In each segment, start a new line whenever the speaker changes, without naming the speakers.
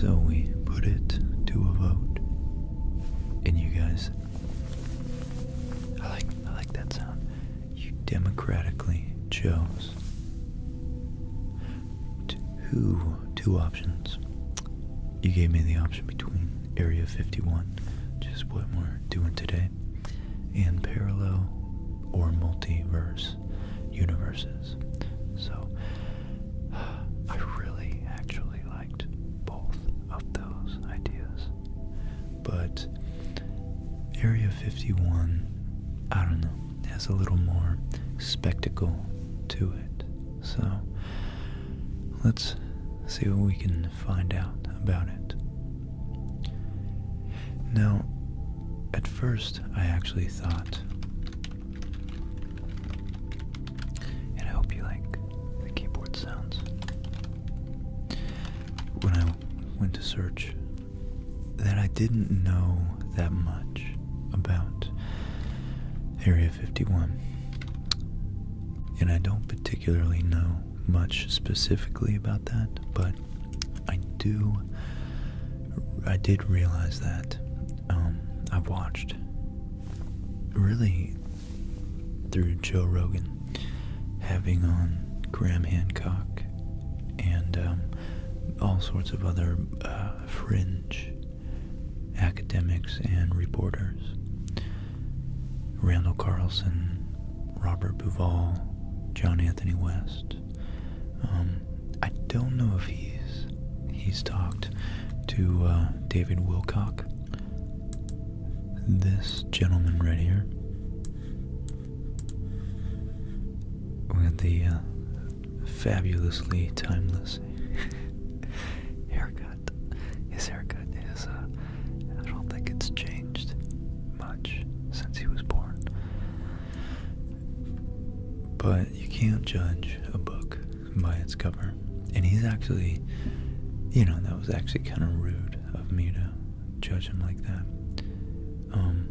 So we put it to a vote. And you guys, I like I like that sound. You democratically chose two two options. You gave me the option between Area 51, just what we're doing today, and parallel or multiverse universes. So I really actually liked both of those ideas. But Area 51, I don't know, has a little more spectacle to it. So let's see what we can find out about it. Now, at first, I actually thought and I hope you like the keyboard sounds. When I went to search, that I didn't know that much about Area 51. And I don't particularly know much specifically about that, but I do. I did realize that um, I've watched really through Joe Rogan having on Graham Hancock and um, all sorts of other uh, fringe academics and reporters. Randall Carlson, Robert Buval, John Anthony West. Um, I don't know if he's he's talked to uh, David Wilcock. This gentleman right here with the uh, fabulously timeless haircut. His haircut is, uh, I don't think it's changed much since he was born. But you can't judge a book by its cover. And he's actually, you know, that was actually kind of rude of me to judge him like that. Um,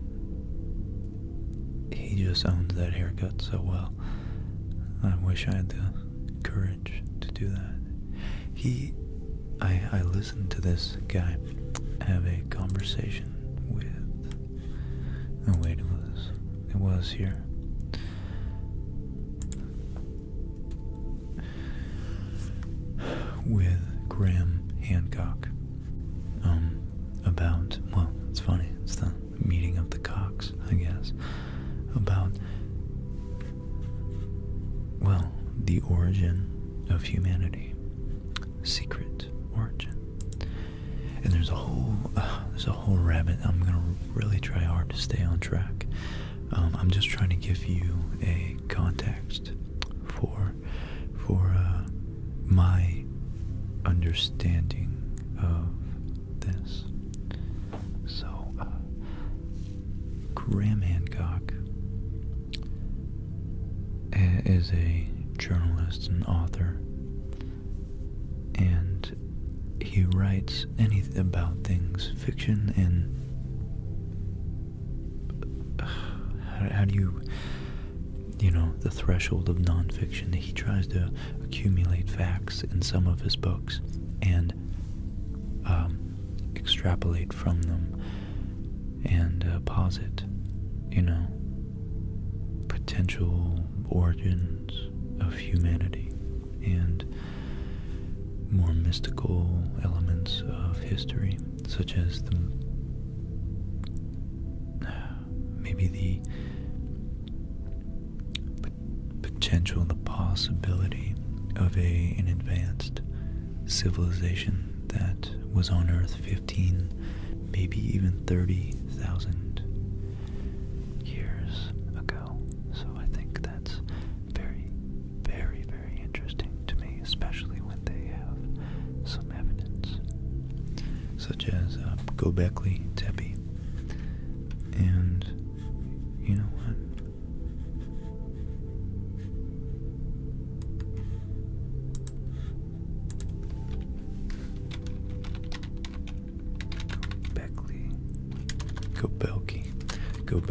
he just owns that haircut so well. I wish I had the courage to do that. He, I, I listened to this guy have a conversation with Oh it was it was here. With Graham Hancock. Um about well, it's funny, it's the meeting of the cocks, I guess. About well, the origin of humanity. Secret origin and there's a whole uh, there's a whole rabbit. I'm gonna really try hard to stay on track. Um, I'm just trying to give you a context for for uh, my understanding of this. So, uh, Graham Hancock is a journalist and author and he writes any about things, fiction and how do you, you know, the threshold of nonfiction. He tries to accumulate facts in some of his books and um, extrapolate from them and uh, posit, you know, potential origin of humanity and more mystical elements of history, such as the maybe the potential, the possibility of a an advanced civilization that was on Earth 15, maybe even 30,000 years ago. So I think that's very, very, very interesting to me, especially when they have some evidence, such as uh, Gobekli Tepe. And you know what? Beckley, go Belky, go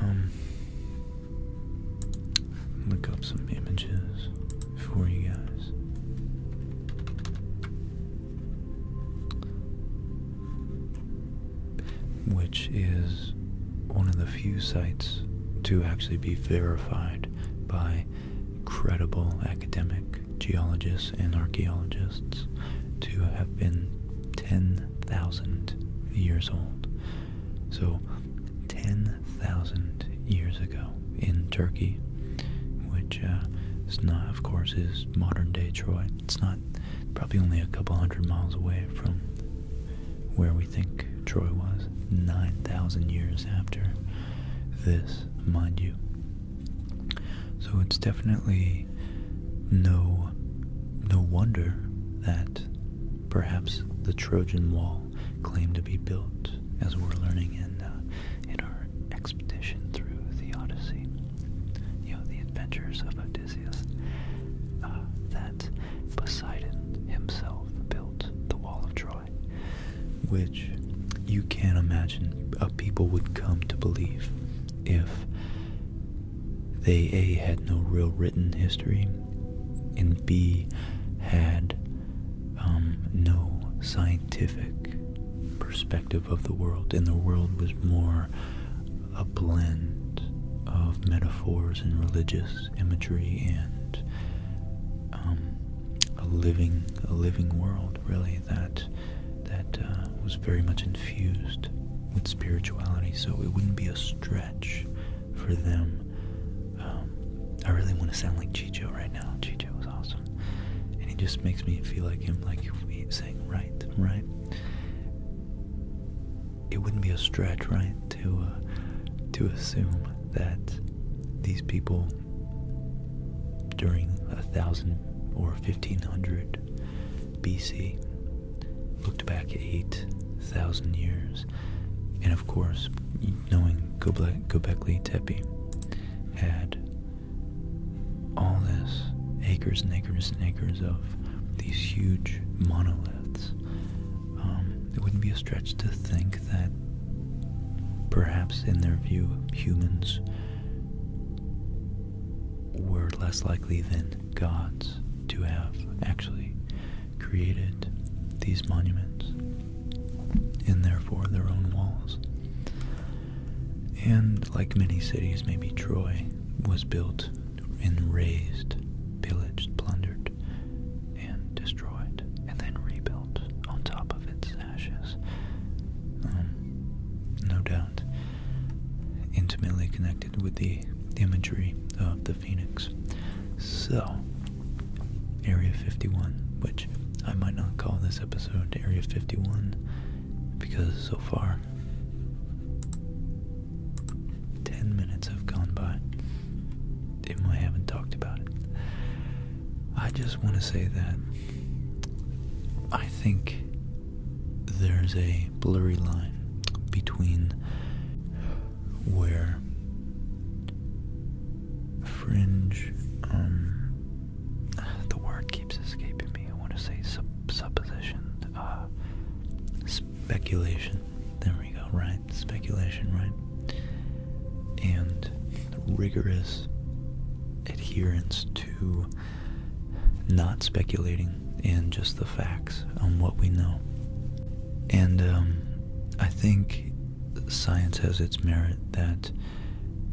Um, look up some images for you guys. Which is one of the few sites to actually be verified by credible academic geologists and archaeologists to have been 10,000 years old. So 10,000 years ago in Turkey, which uh, is not, of course, is modern day Troy. It's not probably only a couple hundred miles away from where we think Troy was, 9,000 years after this, mind you. So it's definitely no, no wonder that perhaps the Trojan Wall claimed to be built, as we're learning in, uh, in our expedition through the Odyssey, you know, the adventures of Odysseus, uh, that Poseidon himself built the Wall of Troy which you can't imagine a people would come to believe if they A, had no real written history, and B, had um, no scientific perspective of the world, and the world was more a blend of metaphors and religious imagery and um, a living a living world really that that uh, was very much infused with spirituality so it wouldn't be a stretch for them um, I really want to sound like Chicho right now Chicho was awesome and he just makes me feel like him like saying right right it wouldn't be a stretch right to uh, to assume that these people during a thousand or fifteen hundred BC looked back eight thousand years, and of course, knowing Göbekli, Göbekli Tepe had all this acres and acres and acres of these huge monoliths. Um, it wouldn't be a stretch to think that perhaps in their view humans were less likely than gods to have actually created these monuments and therefore their own walls. And like many cities, maybe Troy was built and razed, pillaged, plundered and destroyed, and then rebuilt on top of its ashes. Um, no doubt intimately connected with the imagery of the phoenix. So, Area 51, which I might not call this episode Area 51 because so far 10 minutes have gone by even I haven't talked about it. I just want to say that I think there's a blurry line between where fringe, um, the word keeps escaping me. I want to say supposition, uh, speculation. There we go, right? Speculation, right? And rigorous adherence to not speculating and just the facts on what we know. And um, I think science has its merit that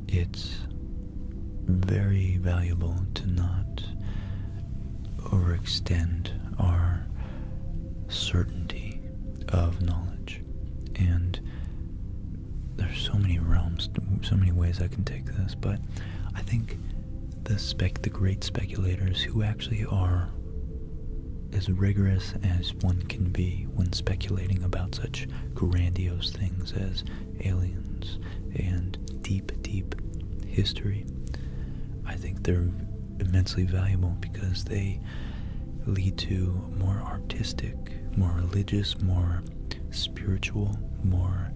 it's very valuable to not overextend our certainty of knowledge. And there's so many realms, so many ways I can take this, but I think the spec, the great speculators who actually are as rigorous as one can be when speculating about such grandiose things as aliens and deep, deep history. I think they're immensely valuable because they lead to more artistic, more religious, more spiritual, more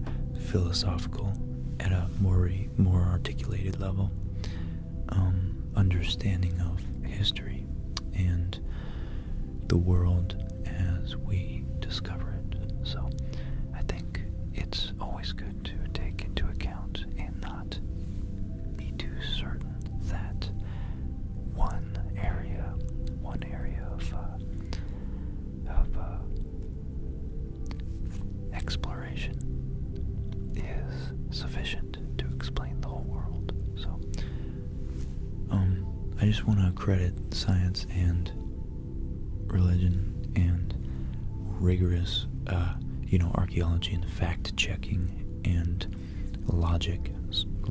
philosophical, at a more more articulated level, um, understanding of history and the world as we discover it. So I think it's always good to take into account in not be too certain that one area, one area of uh, uh, exploration is sufficient to explain the whole world. So, um, I just want to credit science and religion and rigorous, uh, you know, archaeology and fact checking and logic,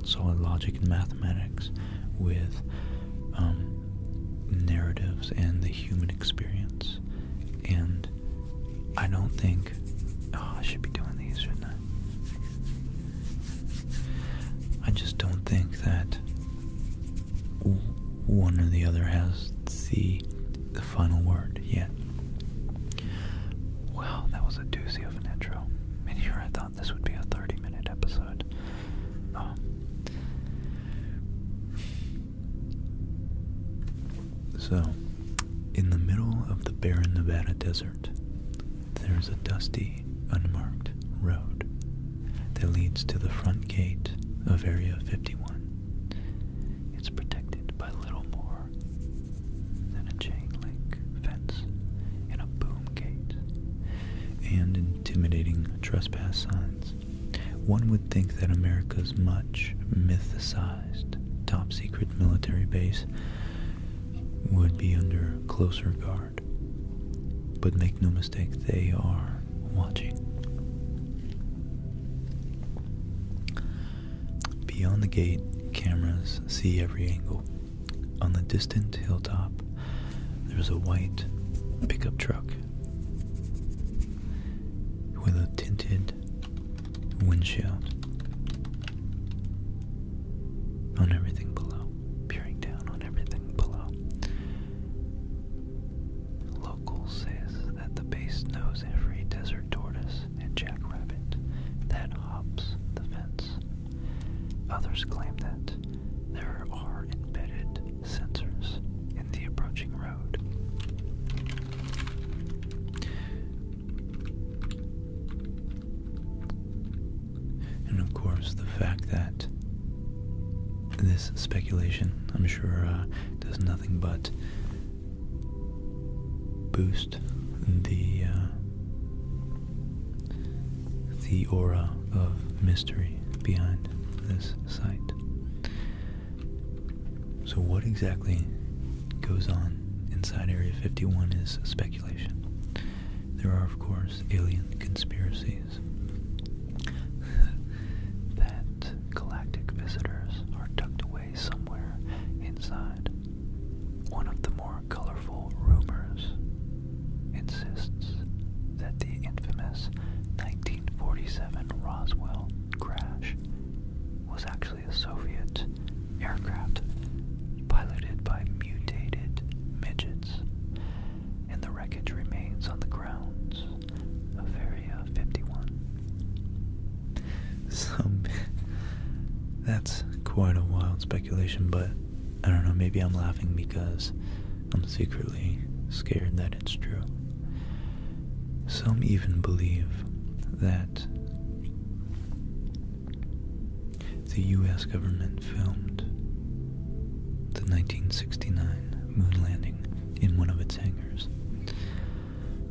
solid logic and mathematics with um, narratives and the human experience. And I don't think, oh, I should be doing these, shouldn't I? I just don't think that one or the other has the final word yet. Wow, that was a doozy of an intro. And here I thought this would be a 30 minute episode. Oh. So, in the middle of the barren Nevada desert, there's a dusty, unmarked road that leads to the front gate of Area 51. It's protected by little more than a chain link fence and a boom gate, and intimidating trespass signs. One would think that America's much mythicized top secret military base would be under closer guard. But make no mistake, they are watching. Beyond the gate, cameras see every angle. On the distant hilltop, there's a white pickup truck with a tinted windshield. On everything below, peering down on everything below. Local says that the base knows every desert tortoise and Jack that hops the fence. Others claim that there are embedded sensors in the approaching road. And of course, the fact that this speculation, I'm sure, uh, does nothing but boost the uh, the aura of mystery behind this site. So what exactly goes on inside Area 51 is speculation. There are of course alien conspiracies that galactic visitors are tucked away somewhere inside. One of the more colorful rumors insists that the infamous 1947 Roswell crash was actually a Soviet aircraft piloted by mutated midgets, and the wreckage remains on the grounds of Area 51. Some that's quite a wild speculation, but I don't know, maybe I'm laughing because I'm secretly scared that it's true. Some even believe that the US government filmed the 1969 moon landing in one of its hangars.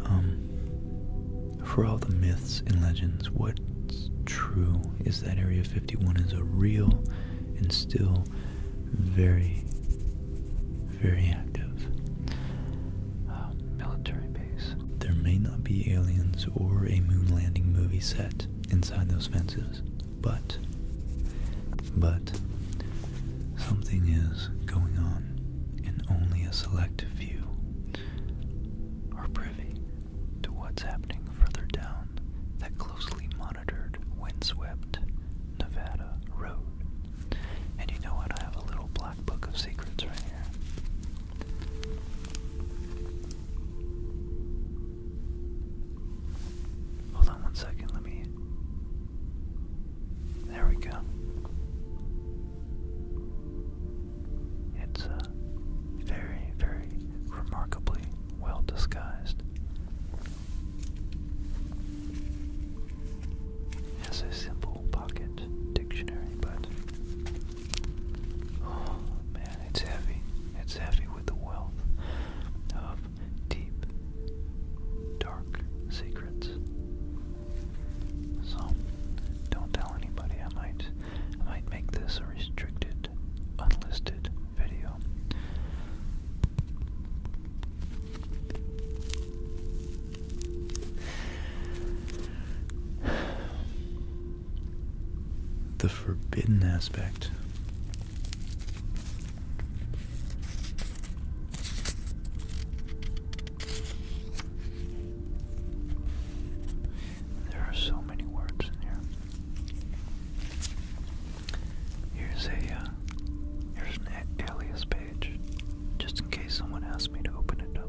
Um, for all the myths and legends, what's true is that Area 51 is a real and still very, very active uh, military base. There may not be aliens or a moon landing movie set inside those fences, but, but, something is going on in only a select few are privy to what's happening further down that closely monitored, windswept Nevada road. And you know what? I have a little black book of secrets right here. Hold on one second, let me. There we go. It's uh, very, very remarkably well disguised. It's a simple pocket dictionary, but oh, man, it's heavy. It's heavy with the wealth of deep, dark secrets so don't tell anybody. I might, I might make this a restricted, unlisted video. The forbidden aspect. There are so many words in here. Here's a uh, here's an alias page, just in case someone asks me to open it up.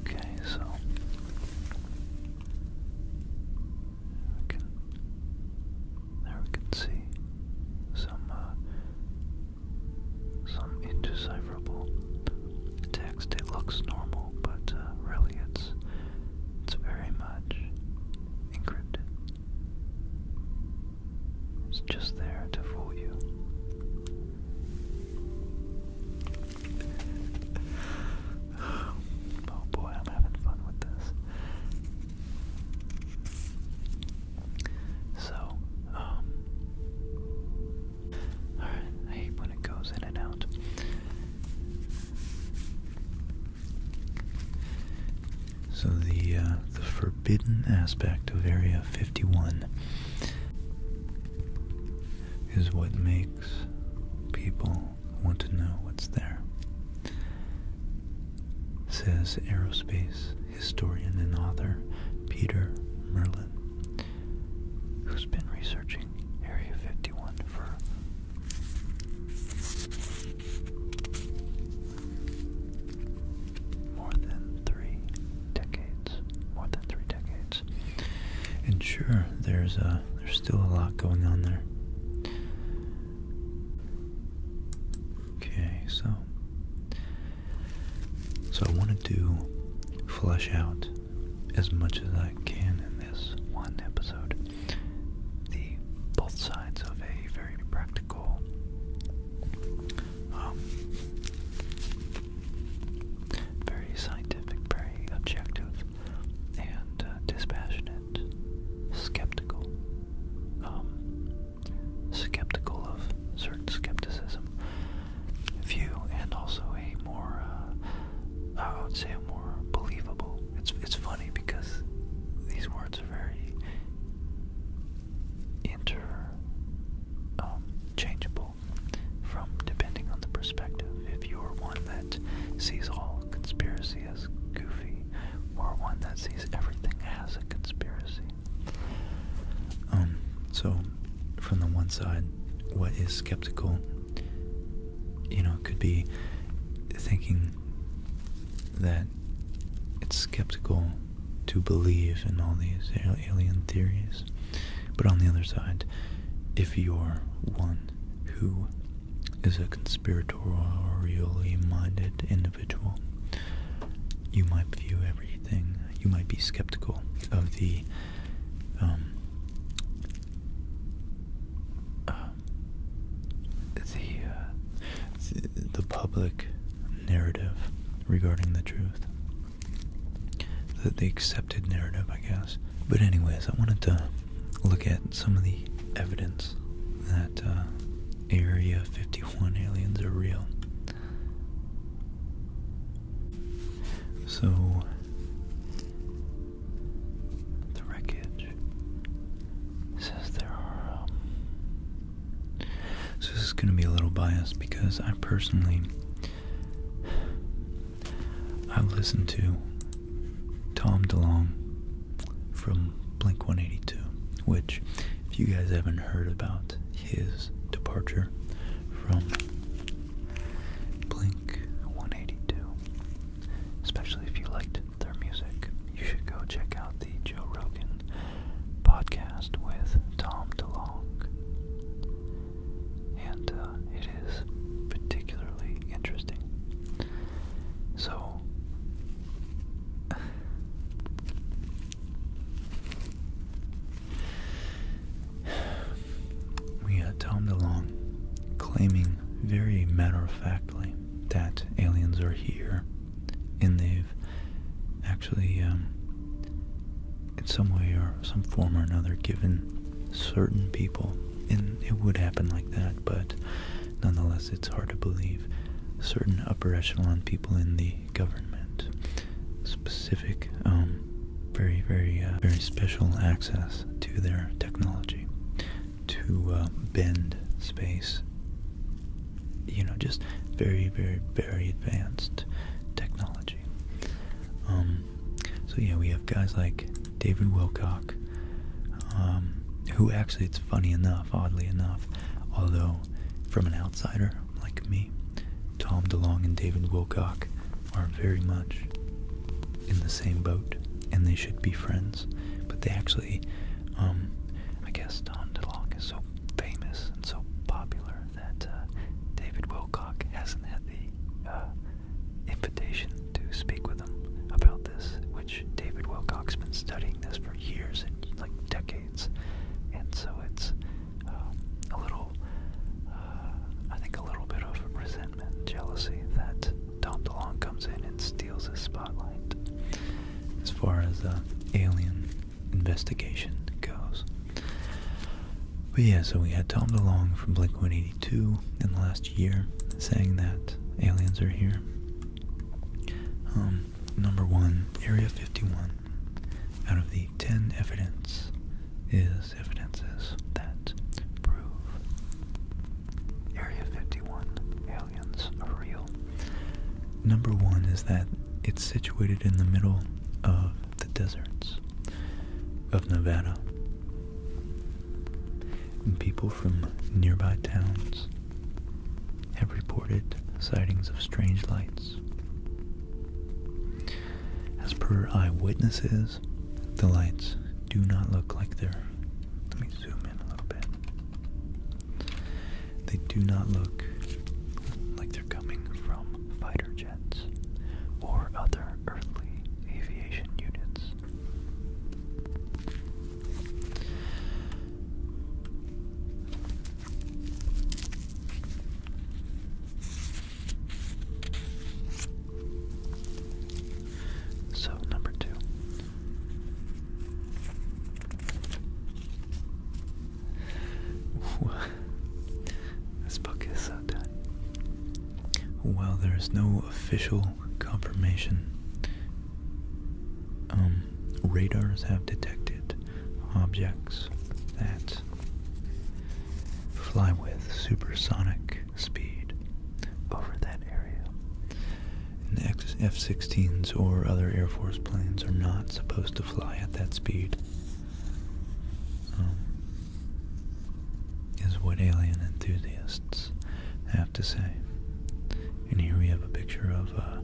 Okay, so there we can see some uh, some indecipherable text. It looks normal, but uh, really it's it's very much encrypted. It's just there to fool you. oh boy, I'm having fun with this. So, um, Alright, I hate when it goes in and out. So the uh, the forbidden aspect of Area 51 is what makes people want to know what's there, says aerospace historian and author Peter Merlin, who's been researching Area 51 for more than three decades. More than three decades. And sure, there's a uh, there's still a lot going on there. Okay, so so I wanted to flesh out as much as I can in this one episode the both sides of a very practical um, very scientific, very objective, and uh, dispassionate, skeptical, um, skeptical of certain skepticism view, and also a more, uh, I would say, a more believable. It's it's funny because these words are very interchangeable um, from depending on the perspective. If you're one that sees all conspiracy as goofy, or one that sees everything as a conspiracy. Um, so, from the one side, what is skeptical, you know, could be thinking that it's skeptical to believe in all these alien theories. But on the other side, if you're one who is a conspiratorially minded individual, you might view everything, you might be skeptical of the um, uh, uh, the the public narrative regarding the truth. The, the accepted narrative, I guess. But, anyways, I wanted to look at some of the evidence that uh, Area 51 aliens are real. So, the wreckage says there are um, so this is going to be a little biased because I personally I listened to Tom DeLonge from Blink 182, which if you guys haven't heard about his departure from Blink 182, especially if you liked their music, you should go check out the Joe Rogan podcast with Tom DeLong. And uh, it is particularly interesting. So, we had Tom DeLong claiming very matter of factly that aliens are here and they've actually, um, in some way or some form or another, given certain people, and it would happen like that, but nonetheless, it's hard to believe certain upper echelon people in the government specific, um, very, very, uh, very special access to their technology to uh, bend space you know, just very, very, very advanced technology. Um, so yeah, we have guys like David Wilcock, um, who actually, it's funny enough, oddly enough, although from an outsider like me, Tom DeLong and David Wilcock are very much in the same boat, and they should be friends. But they actually, um, I guess Tom DeLong is so famous and so popular that uh, David Wilcock hasn't had the uh, invitation to speak with him about this, which David Wilcock's been studying this for years and like decades, and so it's uh, a little, I think, a little bit of resentment, jealousy that Tom DeLonge comes in and steals his spotlight. As far as uh, Alien investigation goes. But yeah, so we had Tom DeLong from Blink 182 in the last year saying that aliens are here. Um, number one, Area 51 out of the 10 evidence is evidences that prove Area 51 aliens are real. Number one is that it's situated in the middle of the deserts of Nevada. And people from nearby towns have reported sightings of strange lights. As per eyewitnesses, the lights do not look like they're. Let me zoom in a little bit. They do not look like they're coming from fighter jets or other earthly aviation units. So, number two this book is so done. While there is no official confirmation, um, radars have detected objects that fly with supersonic speed over that area. And F-16s or other Air Force planes are not supposed to fly at that speed um, is what alien enthusiasts have to say. And here we have a picture of uh,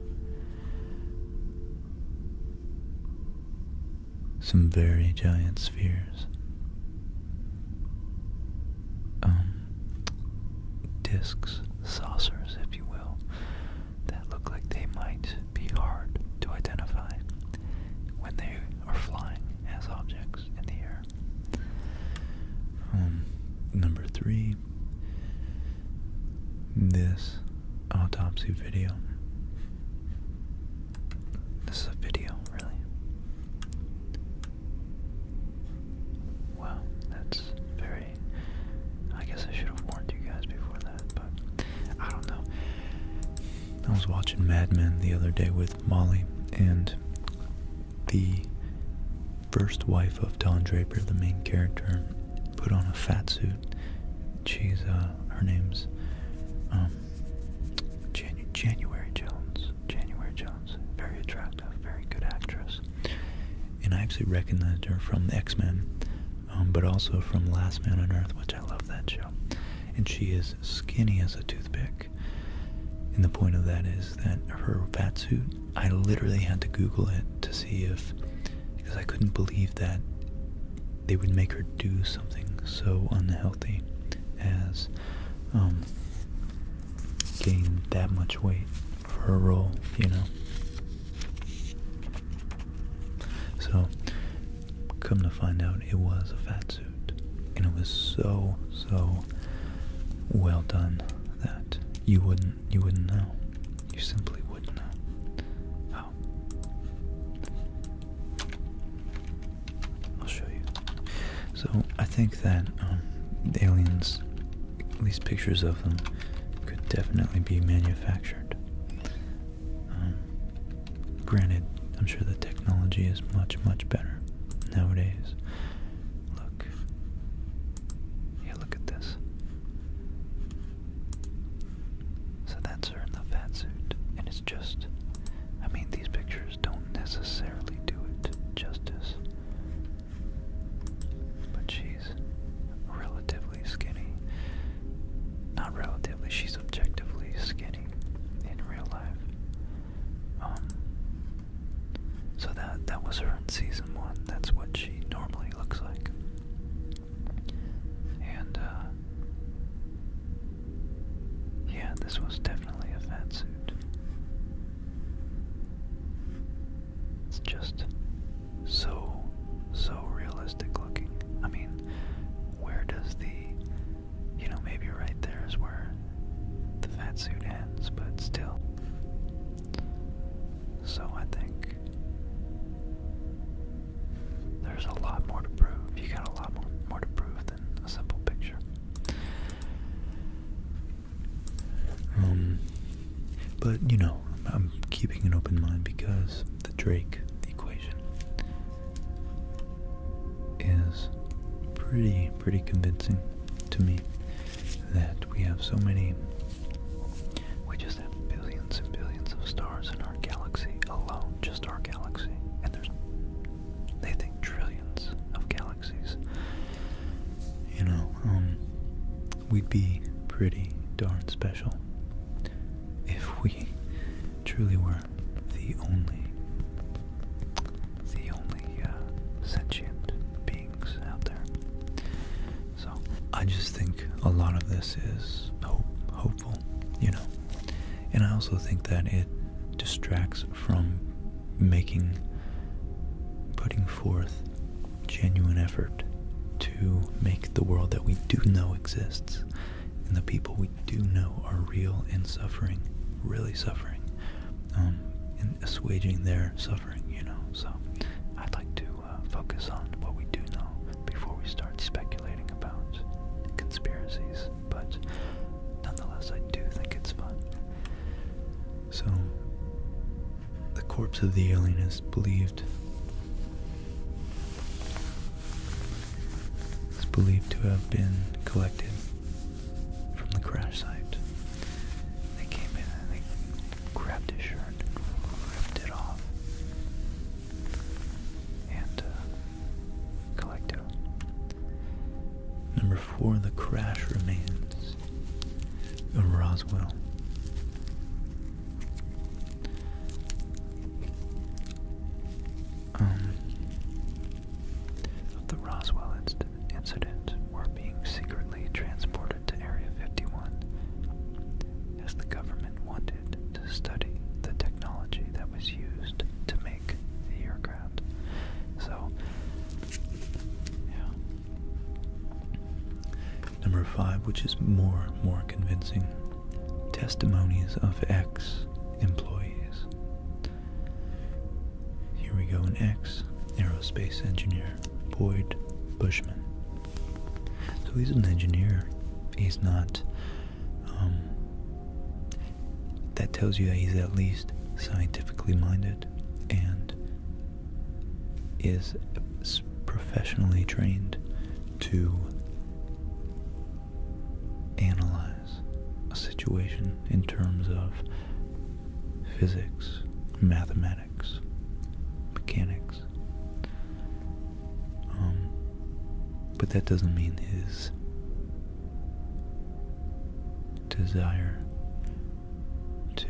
some very giant spheres. Um, discs, saucers, if you will, that look like they might be hard to identify when they are flying as objects in the air. Um, number three, this autopsy video. This is a video, really. Wow, that's very I guess I should have warned you guys before that, but I don't know. I was watching Mad Men the other day with Molly, and the first wife of Don Draper, the main character, put on a fat suit. She's, uh, her name's, um, January Jones. January Jones. Very attractive, very good actress. And I actually recognized her from X Men um, but also from Last Man on Earth, which I love that show. And she is skinny as a toothpick. And the point of that is that her fat suit, I literally had to Google it to see if, because I couldn't believe that they would make her do something so unhealthy as um, gain that much weight for a role, you know? So, come to find out, it was a fat suit. And it was so, so well done that you wouldn't you wouldn't know. You simply wouldn't know. Oh. I'll show you. So I think that um, aliens, these pictures of them, could definitely be manufactured. Um, granted, I'm sure the technology is much, much better nowadays. Look. Yeah, look at this. So that's her in the fat suit. And it's just, I mean, these pictures don't necessarily do it justice. But she relatively skinny. Not relatively, she's objectively skinny in real life. Um, so that that was her in season one. That's what she normally looks like. And uh, yeah, this was definitely a fat suit. It's just so, so realistic looking. I mean, where does the, you know, maybe right there is where the fat suit ends, but still. So I think there's a lot more to prove. You got a lot more, more to prove than a simple picture. Um, but you know, I'm keeping an open mind because the Drake equation is pretty, pretty convincing to me that we have so many, we just have billions and billions of stars in our galaxy alone, just our galaxy, and there's, they think trillions of galaxies. You know, um, we'd be pretty darn special if we truly were the only, the only uh, sentient beings out there. So I just think a lot of this is hopeful, you know, and I also think that it distracts from making, putting forth genuine effort to make the world that we do know exists and the people we do know are real and suffering, really suffering, um, and assuaging their suffering, you know. So I'd like to uh, focus on what we do know before we start speculating about conspiracies, but nonetheless, I do think it's fun. So the corpse of the alien is believed it's believed to have been collected from the crash site. They came in and they grabbed his shirt ripped it off and uh, collected Number four, the crash remains of Roswell um, the Roswell incident, incident were being secretly transported to Area 51 as the government wanted to study the technology that was used to make the aircraft. So, yeah. Number five, which is more more convincing testimonies of ex employees. Here we go an ex aerospace engineer, Boyd Bushman. So he's an engineer. He's not. Um, that tells you that he's at least scientifically minded and is professionally trained to analyze a situation in terms of physics, mathematics, mechanics. Um, but that doesn't mean his desire to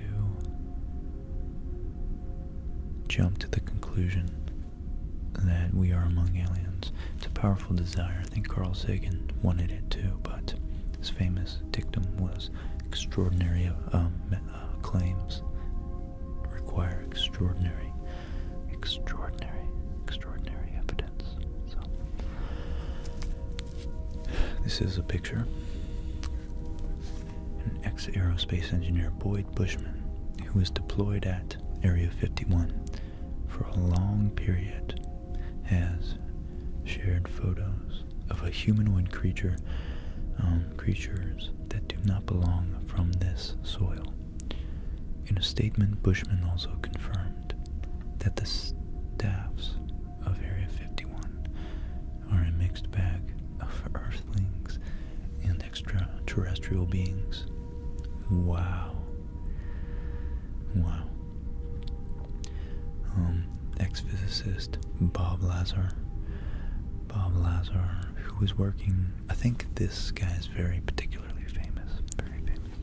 jump to the conclusion that we are among aliens. It's a powerful desire. I think Carl Sagan wanted it too, but his famous dictum was extraordinary uh, um, uh, claims require extraordinary, extraordinary, extraordinary evidence. So, this is a picture an ex-aerospace engineer Boyd Bushman, who was deployed at Area 51 for a long period, has shared photos of a humanoid creature, um, creatures that do not belong from this soil. In a statement, Bushman also confirmed that the staffs of Area 51 are a mixed bag of earthlings and extraterrestrial beings. Wow. Wow. Um, ex physicist Bob Lazar. Bob Lazar, who was working, I think this guy is very particularly famous, very famous,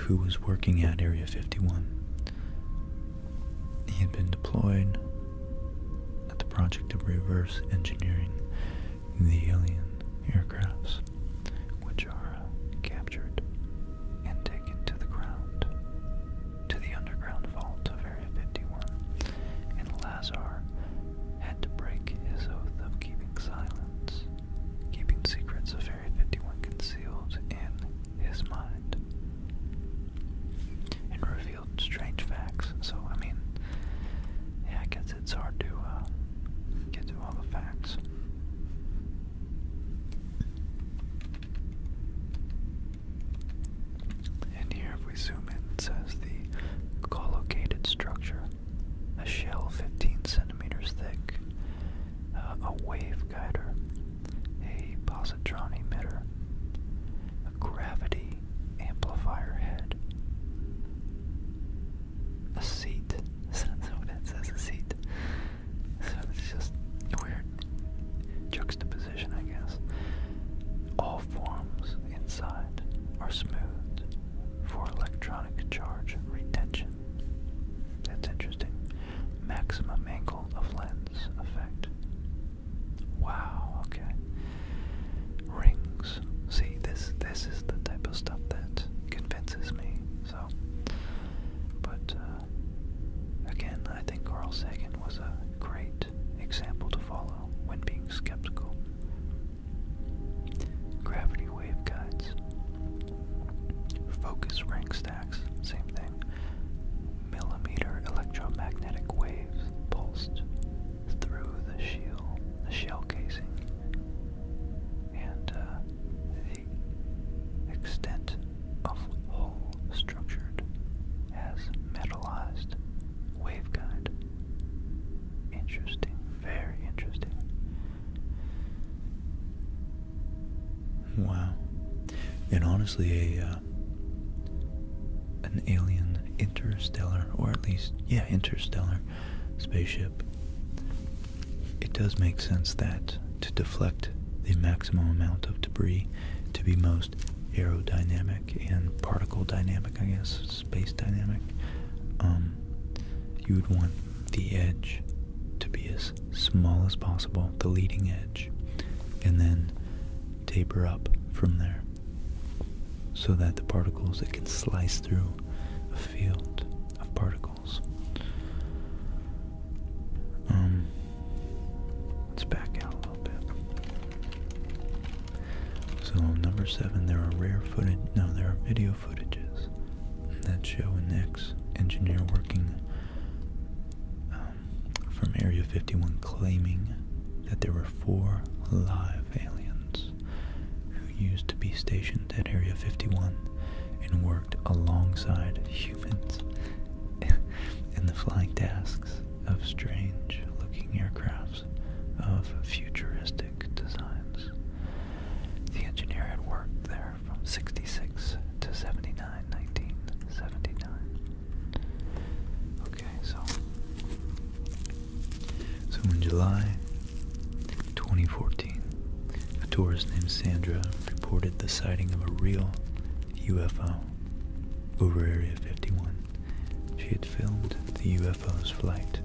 who was working at Area 51 he had been deployed at the project of reverse engineering the alien aircrafts, which are uh, captured and taken to the ground, to the underground vault of Area 51, and Lazar had to break his oath of keeping silence, keeping secrets of Area 51 concealed in his mind, and Garfield strange facts. So I mean, yeah, I guess it's hard to uh, get to all the facts. And here, if we zoom in, it says the collocated structure, a shell 15 centimeters thick, uh, a wave waveguider, a positron emitter, gravity amplifier head. A seat. That's what it says, a seat. So it's just weird juxtaposition, I guess. All forms inside are smooth for electronic charge retention. That's interesting. Maximum angle of lens effect. Wow, okay. Rings. See, this this is the type of stuff that convinces me. So, but uh, again, I think Carl Sagan was a great example to follow when being skeptical. Gravity wave guides, focus rank stacks, same thing millimeter electromagnetic waves pulsed through the shell, the shell casing, and uh, the extent of hull structured as metallized waveguide. Interesting, very interesting. Wow. And honestly, a uh, uh, an alien interstellar, or at least, yeah, interstellar spaceship, it does make sense that to deflect the maximum amount of debris to be most aerodynamic and particle dynamic, I guess, space dynamic, um, you would want the edge to be as small as possible, the leading edge, and then taper up from there so that the particles it can slice through a field of particles. Um, let's back out a little bit. So number seven, there are rare footage. No, there are video footages that show an ex-engineer working uh, from Area 51 claiming that there were four live aliens who used to be stationed at Area 51 and worked alongside humans in the flying tasks of strange looking aircrafts of futuristic designs. The engineer had worked there from 66 to 79, Okay, so so in July 2014, a tourist named Sandra reported the sighting of a real UFO over Area 51. She had filmed the UFO's flight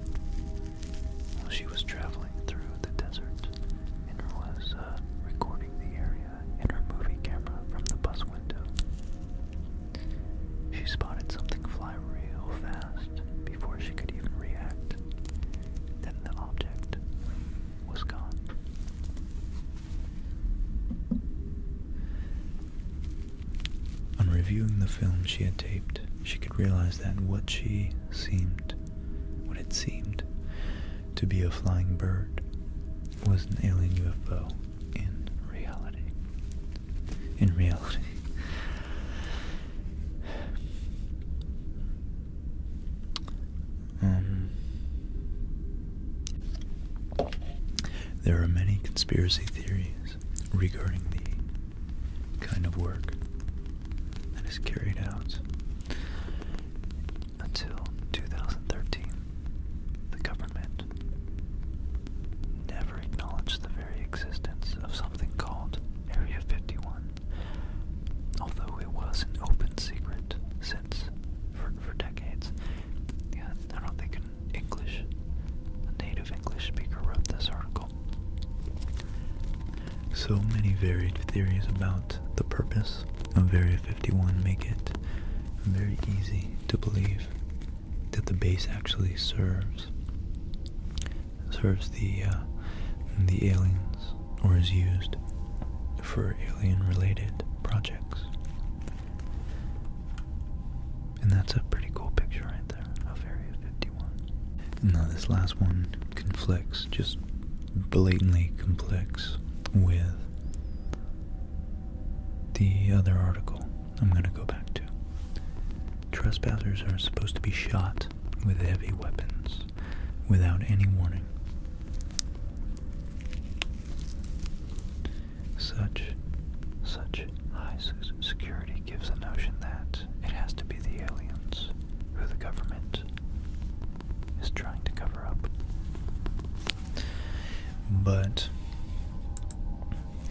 while she was traveling through the desert and was uh, recording the area. Julia uh, her movie camera from the bus window. She spotted something fly real fast before she could even react. Then the object was gone. On reviewing the film she had taped, she could realize that what she seemed, what it seemed to be a flying bird, was an alien UFO in reality. In reality. Um, there are many conspiracy theories regarding the kind of work that is carried out until 2013 the government never acknowledged the very existence of something called Area 51, although it was an open secret since for, for decades. Yeah, I don't think an English, a native English speaker wrote this article. So many varied theories about the purpose of Area 51 make it very easy to believe that the base actually serves serves the uh, the aliens or is used for alien related projects. And that's a pretty cool picture right there of Area 51. Now this last one conflicts, just blatantly conflicts with the other article I'm going to go back to. Trespassers are supposed to be shot with heavy weapons without any warning. Such such high security gives the notion that it has to be the aliens who the government is trying to cover up. But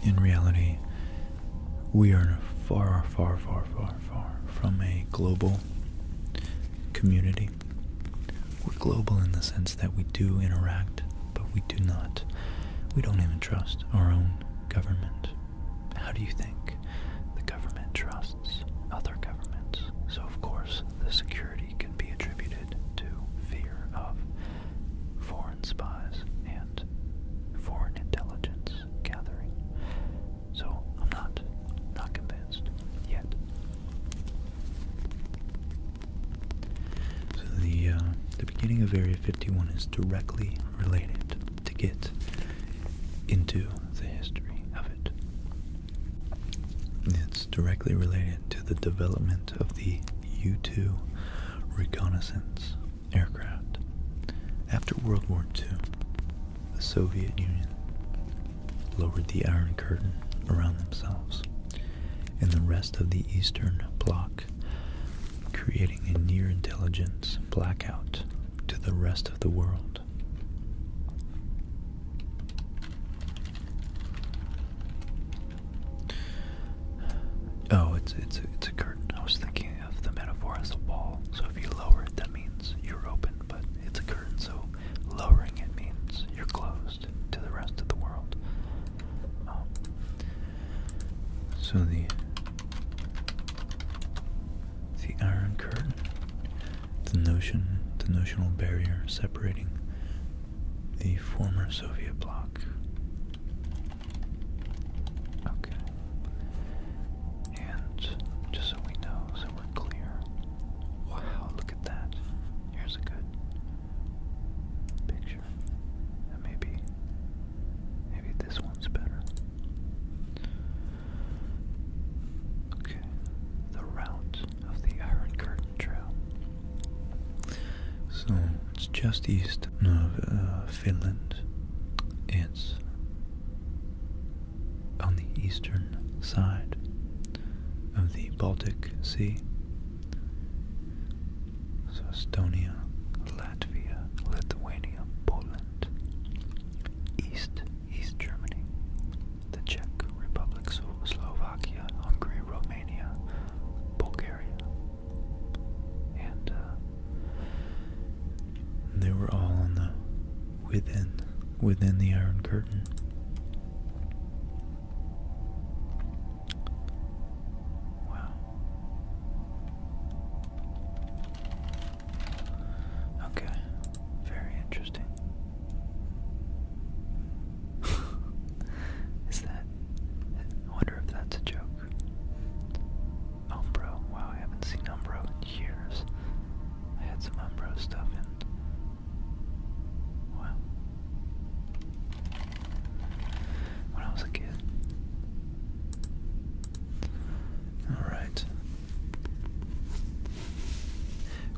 in reality, we are far, far, far, far, far from a global community. We're global in the sense that we do interact, but we do not. We don't even trust our own government. How do you think the government trusts other governments? So, of course, the security can be attributed to fear of foreign spies, and foreign intelligence gathering. So I'm not not convinced yet. So the uh, the beginning of Area 51 is directly related to get into the history of it. It's directly related to the development of the U-2 reconnaissance aircraft. After World War II, the Soviet Union lowered the Iron Curtain around themselves and the rest of the Eastern Bloc, creating a near-intelligence blackout to the rest of the world. Oh, it's it's it's a curtain. I was thinking of the metaphor as a wall. So if you lower it, that means you're open, but it's a curtain. So lowering it means you're closed to the rest of the world. Um, so the the iron curtain, the notion, the notional barrier separating the former Soviet bloc. Okay. And just so we know, so we're clear. Wow, look at that. Here's a good picture. maybe maybe this one's better. Okay. The route of the Iron Curtain Trail. So it's just east of uh, Finland. It's on the eastern side of the Baltic Sea. So Estonia, Latvia, Lithuania, Poland, East, East Germany, the Czech Republic, Slovakia. Hungary, Romania, Bulgaria, and uh, they were all on the within within the Iron Curtain. Wow. Okay, very interesting. Is that I wonder if that's a joke. Umbro. Wow, I haven't seen Umbro in years. I had some Umbro stuff and... Wow. When I was a kid. Alright.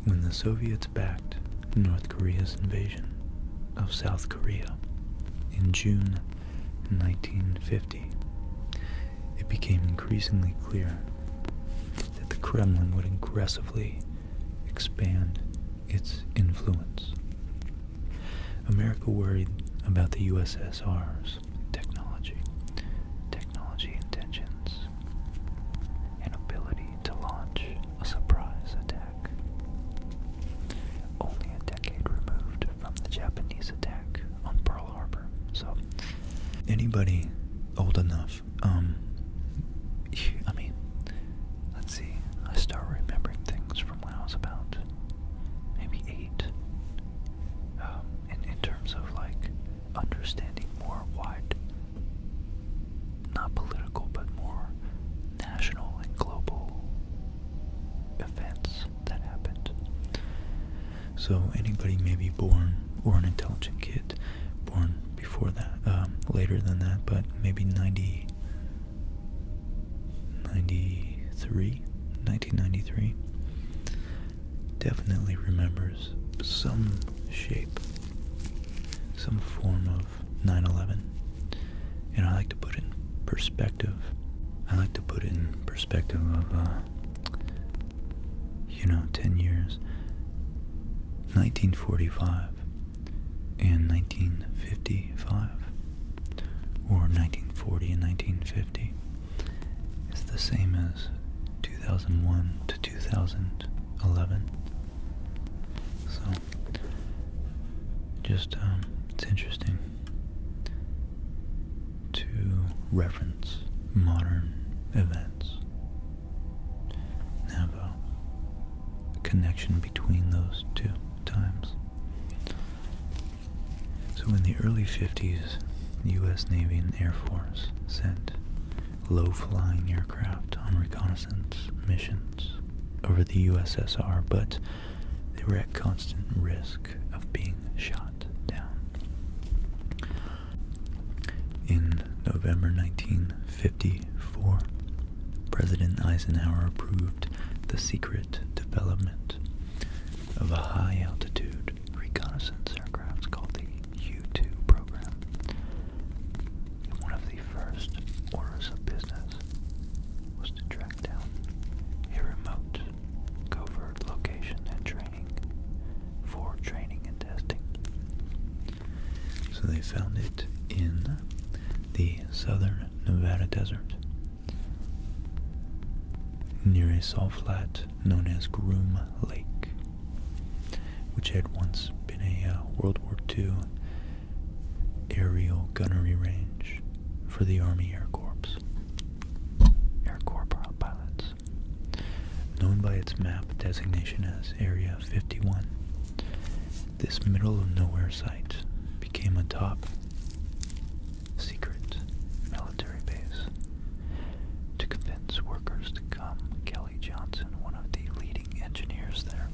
When the Soviets backed North Korea's invasion of South Korea in June 1950, it became increasingly clear that the Kremlin would aggressively expand its influence. America worried about the USSR's technology, technology intentions, and ability to launch a surprise attack. Only a decade removed from the Japanese attack on Pearl Harbor. So, anybody old enough, um, I mean, let's see, I start remembering things from when I was about maybe eight. and um, in, in terms of like understanding more wide not political but more national and global events that happened. So anybody may be born or an intelligent kid born before that, um, later than that, but maybe 90, 93, definitely remembers some shape, some form of 9 11. And I like to put in perspective. I like to put in perspective of, uh, you know, 10 years. 1945 and 1955, or 1940 and 1950, It's the same as 2001 to 2011. So, just, um, it's interesting to reference modern events have a connection between those two times. So, in the early 50s, the U.S. Navy and Air Force sent low flying aircraft on reconnaissance missions over the USSR, but they were at constant risk of being shot down. In November 1954, President Eisenhower approved the secret development of a high altitude reconnaissance aircraft called the U 2 program first orders of business was to track down a remote, covert location and training for training and testing. So they found it in the southern Nevada desert near a salt flat known as Groom Lake, which had once been a uh, World War II aerial gunnery range for the Army Air Corps. Air Corps pilots. Known by its map designation as Area 51, this middle of nowhere site became a top secret military base. To convince workers to come, Kelly Johnson, one of the leading engineers there,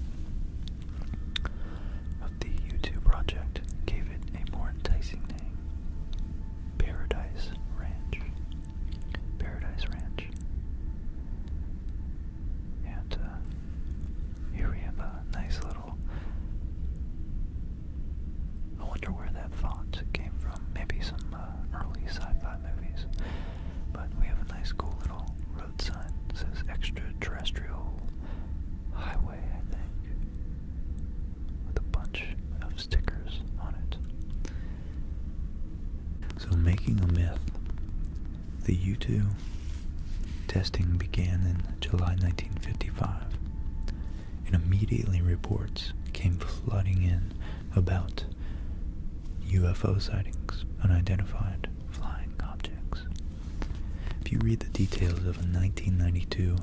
of the YouTube project gave it a more enticing name Paradise Ranch. Paradise Ranch. And uh, here we have a nice little. I wonder where that font came from. Maybe some uh, early sci fi movies. But we have a nice, cool little sign says extraterrestrial highway, I think, with a bunch of stickers on it. So, making a myth, the U 2 testing began in July 1955, and immediately reports came flooding in about UFO sightings, unidentified flying objects. If you read the details of a 1992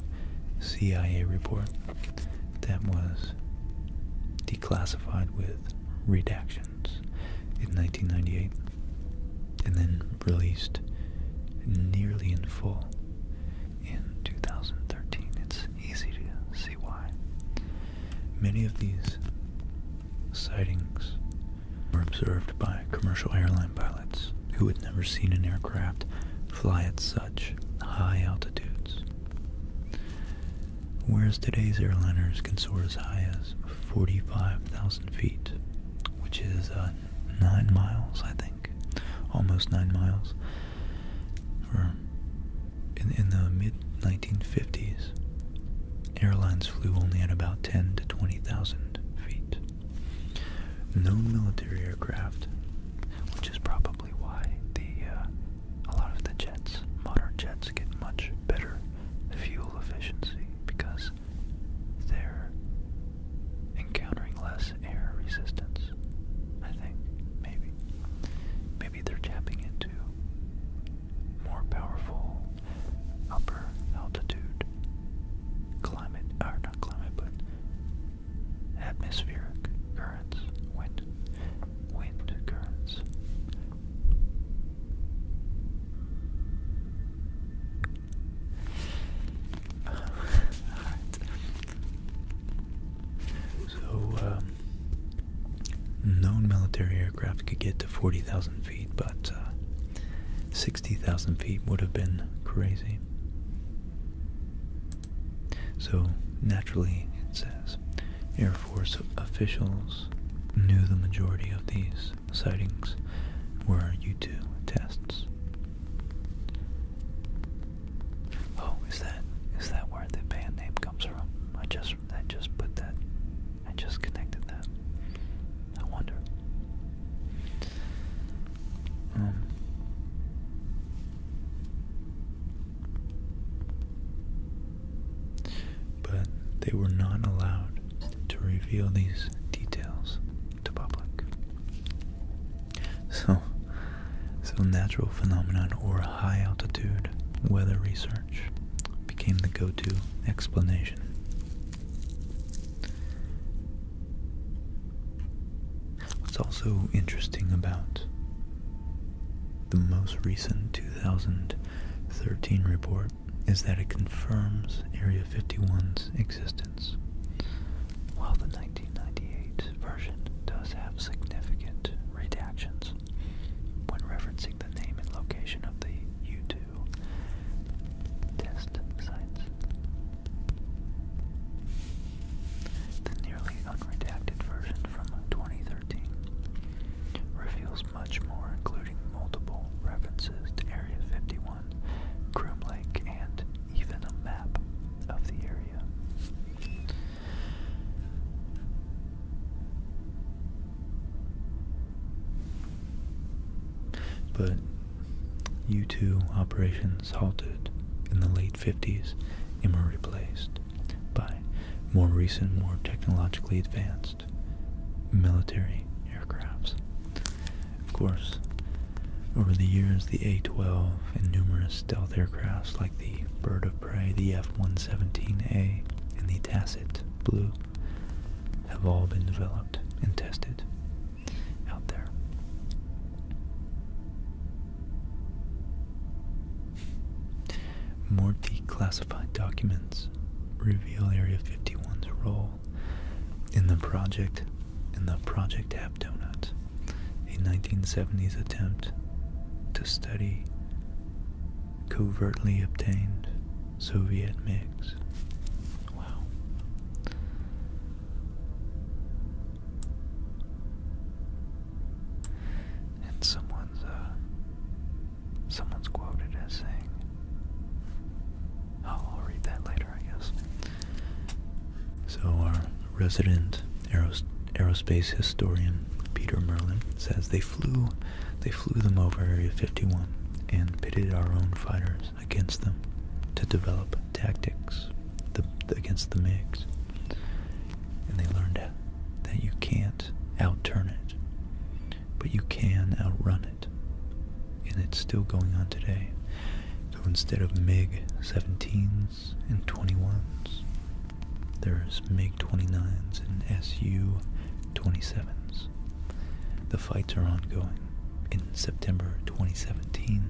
CIA report that was declassified with redactions in 1998 and then released nearly in full in 2013, it's easy to see why. Many of these sightings were observed by commercial airline pilots who had never seen an aircraft fly at such high altitudes. Whereas today's airliners can soar as high as 45,000 feet, which is uh, 9 miles, I think, almost 9 miles, in the mid 1950s, Airlines flew only at about 10 to 20,000 feet. No military aircraft, which is probably why the uh, a lot of the jets, modern jets, get much better fuel efficiency because they're encountering less air resistance. I think maybe maybe they're tapping into more powerful upper altitude climate, or not climate, but atmospheric currents, wind, wind currents. So, um, known military aircraft could get to 40,000 feet, but uh, sixty thousand feet would have been crazy. So naturally, it says Air Force officials knew the majority of these sightings were U2 tests. Oh, is that is that where the band name comes from? I just I just put that I just connected that. I wonder. Um, but they were not allowed to reveal these details to public. So, so natural phenomenon or high altitude weather research became the go-to explanation What's also interesting about the most recent 2013 report is that it confirms Area 51's existence, while the 1998 version does have significant redactions when referencing the name and location of the U-2 to test The nearly unredacted version from 2013 reveals much more, including multiple references to Area 51, Groom and even a map of the area. But U2 operations halted in the late 50s and were replaced by more recent, more technologically advanced military aircrafts. Of course, over the years, the A-12 and numerous stealth aircrafts like the Bird of Prey, the F-117A, and the Tacit Blue have all been developed and tested out there. More declassified documents reveal Area 51's role in the project in the Project App Donut, a 1970s attempt to study covertly obtained Soviet mix. Wow. And someone's uh, someone's quoted as saying Oh, I'll read that later, I guess. So our resident aerospace historian Peter Merlin says they flew they flew them over Area 51 and pitted our own fighters against them to develop tactics against the MiGs. And they learned that you can't outturn it, but you can outrun it. And it's still going on today. So instead of MiG 17s and 21s, there's MiG 29s and Su 27s. The fights are ongoing. In September 2017,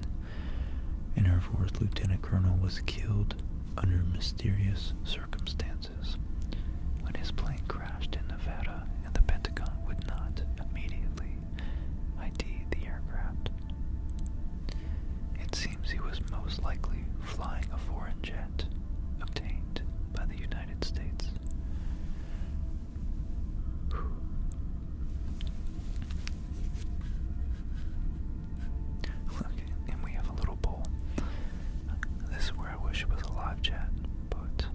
an Air Force lieutenant colonel was killed under mysterious circumstances when his plane crashed in Nevada and the Pentagon would not immediately ID the aircraft. It seems he was most likely flying a foreign jet obtained by the United States. Okay, and we have a little bowl. This is where I wish it was a live chat, but.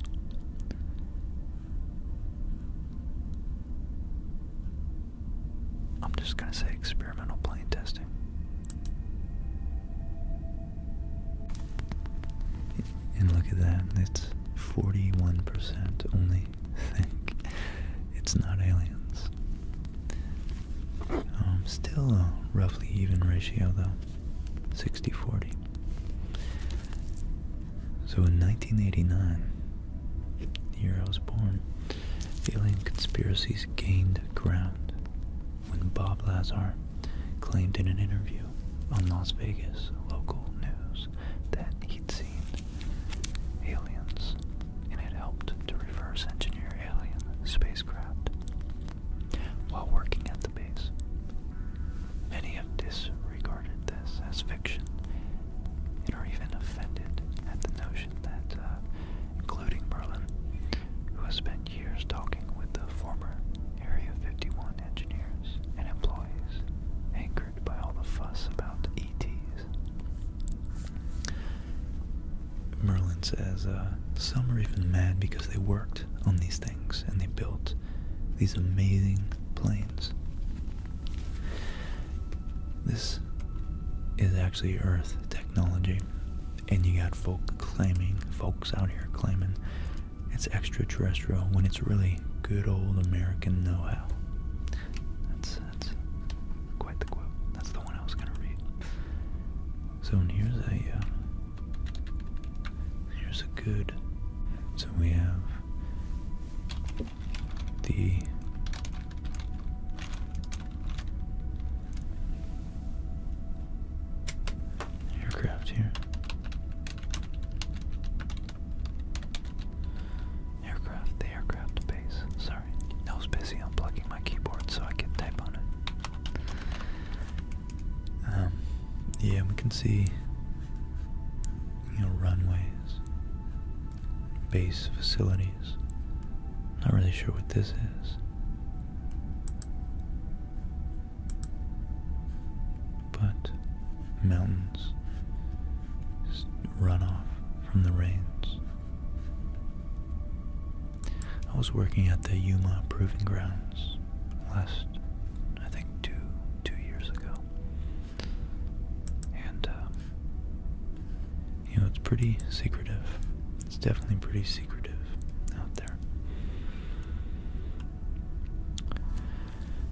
I'm just gonna say experimental plane testing. And look at that, it's 41% only think it's not aliens. Um, still a roughly even ratio though, 60-40. So in 1989, the year I was born, alien conspiracies gained ground when Bob Lazar claimed in an interview on Las Vegas local news that he'd seen aliens and had helped to reverse engineer alien spacecraft while working at the base. Many have disregarded this as fiction and are even offended at the notion that, uh, including Merlin, who has been years talking with the former Area 51 engineers and employees, anchored by all the fuss about ETs. Merlin says uh, some are even mad because they worked on these things and they built these amazing planes. This is actually Earth technology, and you got folk claiming, folks out here claiming it's extraterrestrial when it's really good old American know-how. That's that's quite the quote. That's the one I was gonna read. So here's a uh, here's a good. So we have the aircraft here. Aircraft, the aircraft base. Sorry, I was busy my keyboard so I could type on it. Um, yeah, we can see, you know, runways, base facilities. Not really sure what this is. But mountains run off from the rains. I was working at the Yuma Proving Grounds last, I think, two two years ago, and uh, you know it's pretty secretive. It's definitely pretty secretive out there.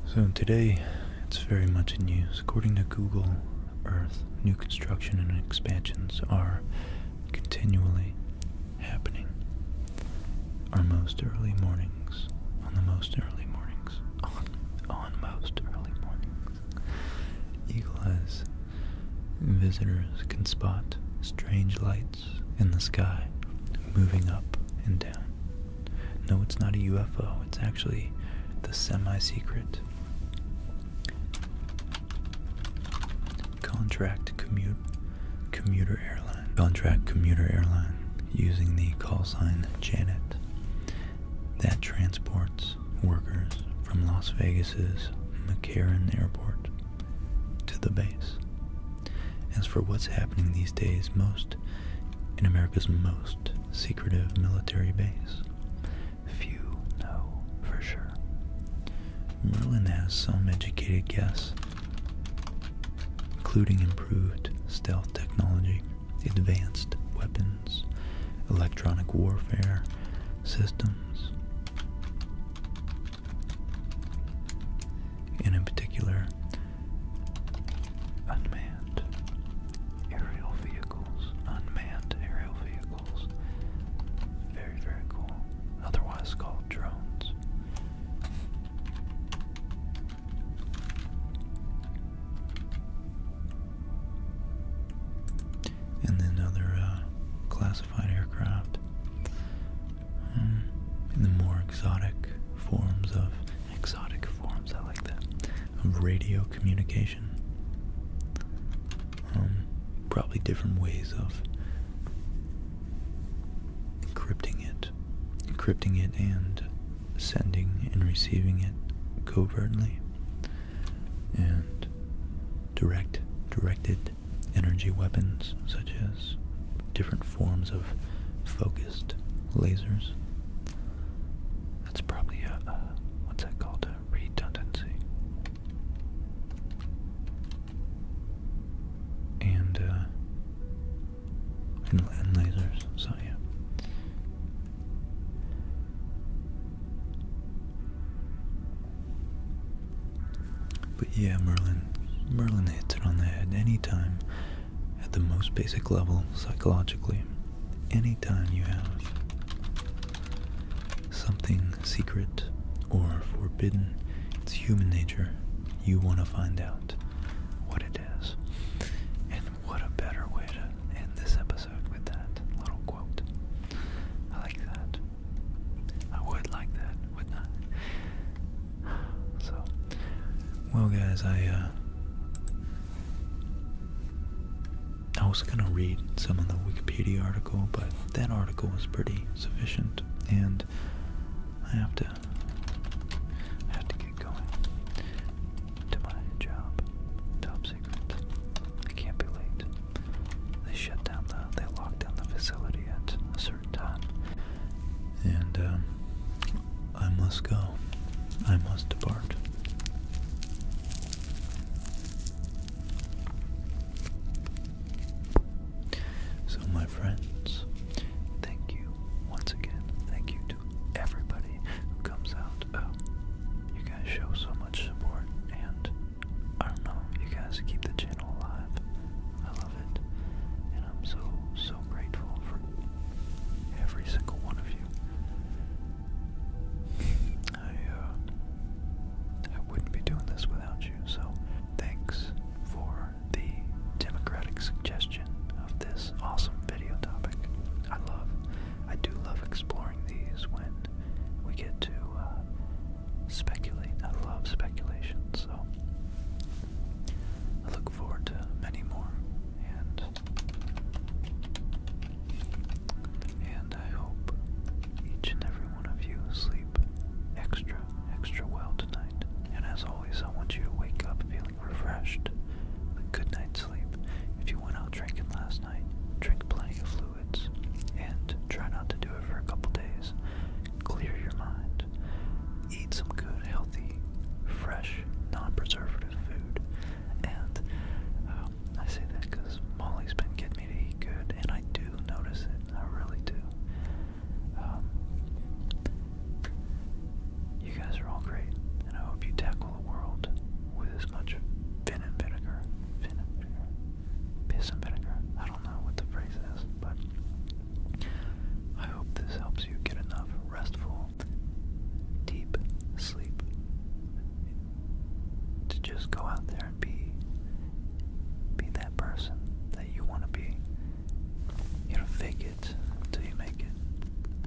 So today, it's very much in use. According to Google Earth, new construction and expansions are continually happening. Our most early mornings, on the most early mornings, on, most early mornings, eagle eyes visitors can spot strange lights in the sky moving up and down. No, it's not a UFO, it's actually the semi secret contract commute commuter airline. Contract commuter airline using the call sign Janet that transports workers from Las Vegas's McCarran Airport to the base. As for what's happening these days most in America's most secretive military base, few know for sure. Merlin has some educated guesses, including improved stealth technology, advanced weapons, electronic warfare systems, and in particular, unmanned aerial vehicles. Unmanned aerial vehicles. Very, very cool. Otherwise called drones. And then other uh, classified aircraft Hmm. in the more exotic forms of exotic forms. I like that of radio communication. Um, probably different ways of encrypting it, encrypting it, and sending and receiving it covertly and direct, directed energy weapons such as different forms of focused lasers. That's probably a, what's that called? A redundancy. and, uh, and lasers, so yeah. But yeah, Merlin, Merlin hits it on the head anytime at the most basic level psychologically. Anytime you have something secret or forbidden, it's human nature. You want to find out what it is. And what a better way to end this episode with that little quote. I like that. I would like that, wouldn't I? So, well, guys, I uh, I was gonna read some of the Wikipedia article, but that article was pretty sufficient, and I have to have to get going to my job. Top secret. I can't be late. They shut down the. They locked down the facility at a certain time. And um, I must go. I must depart. So, my friends, thank you once again. Thank you to everybody who comes out. Oh, you guys show so much support, and I don't know, you guys keep the channel alive. I it. And I'm so, so grateful for every single one of you. Uh, I, wouldn't be doing this without you, so thanks for the democratic suggestion of this awesome video topic. I love, I do love exploring these when we get to uh, speculate. I love speculation, so I look forward to many more, and and I hope each and every one of you sleep extra, extra well tonight. And as always, I want you to wake up feeling refreshed, with good night's sleep. If you went out drinking last night, drink plenty of fluids, and try not to do it for a couple days clear your mind. Eat some good, healthy, fresh, non-preservative food. And um, I say that because Molly's been getting me to eat good, and I do notice it. I really do. Um, you guys are all great, and I hope you tackle the world with as much fin vinegar, vinegar, piss and vinegar. I don't know what the phrase is, but I hope this helps you get enough restful, deep sleep to just go out there and be be that person that you want to be. You know, fake it until you make it.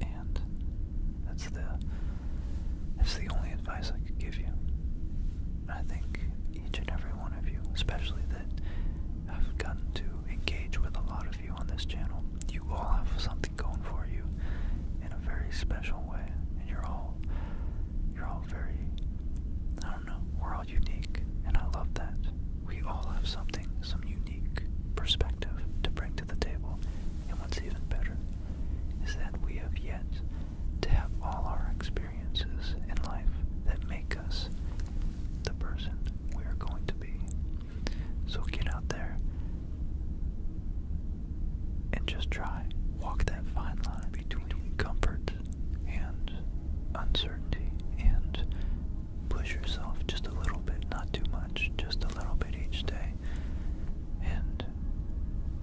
And that's the that's the only advice I could give you. I think each and every one of you, especially that I've gotten to engage with a lot of you on this channel. You all have something going for you in a very special way, and you're all you're all very I don't know, we're all unique, and I love that. We all have something, some unique perspective to bring to the table. And what's even better is that we have yet to have all our experiences experiences in life that make us the person we are going to be. So get out there and just try. Walk that fine line between comfort and uncertainty and push yourself just a little bit, not too much, just a little bit each day. And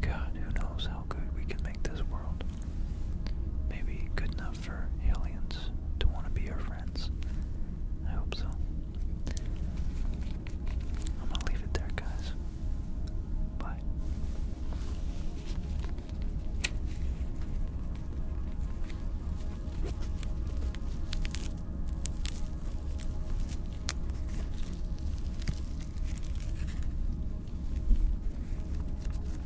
God, who knows how good we can make this world. Maybe good enough enough for aliens to want to be our friends. I hope so. I'm gonna leave it there, guys. Bye.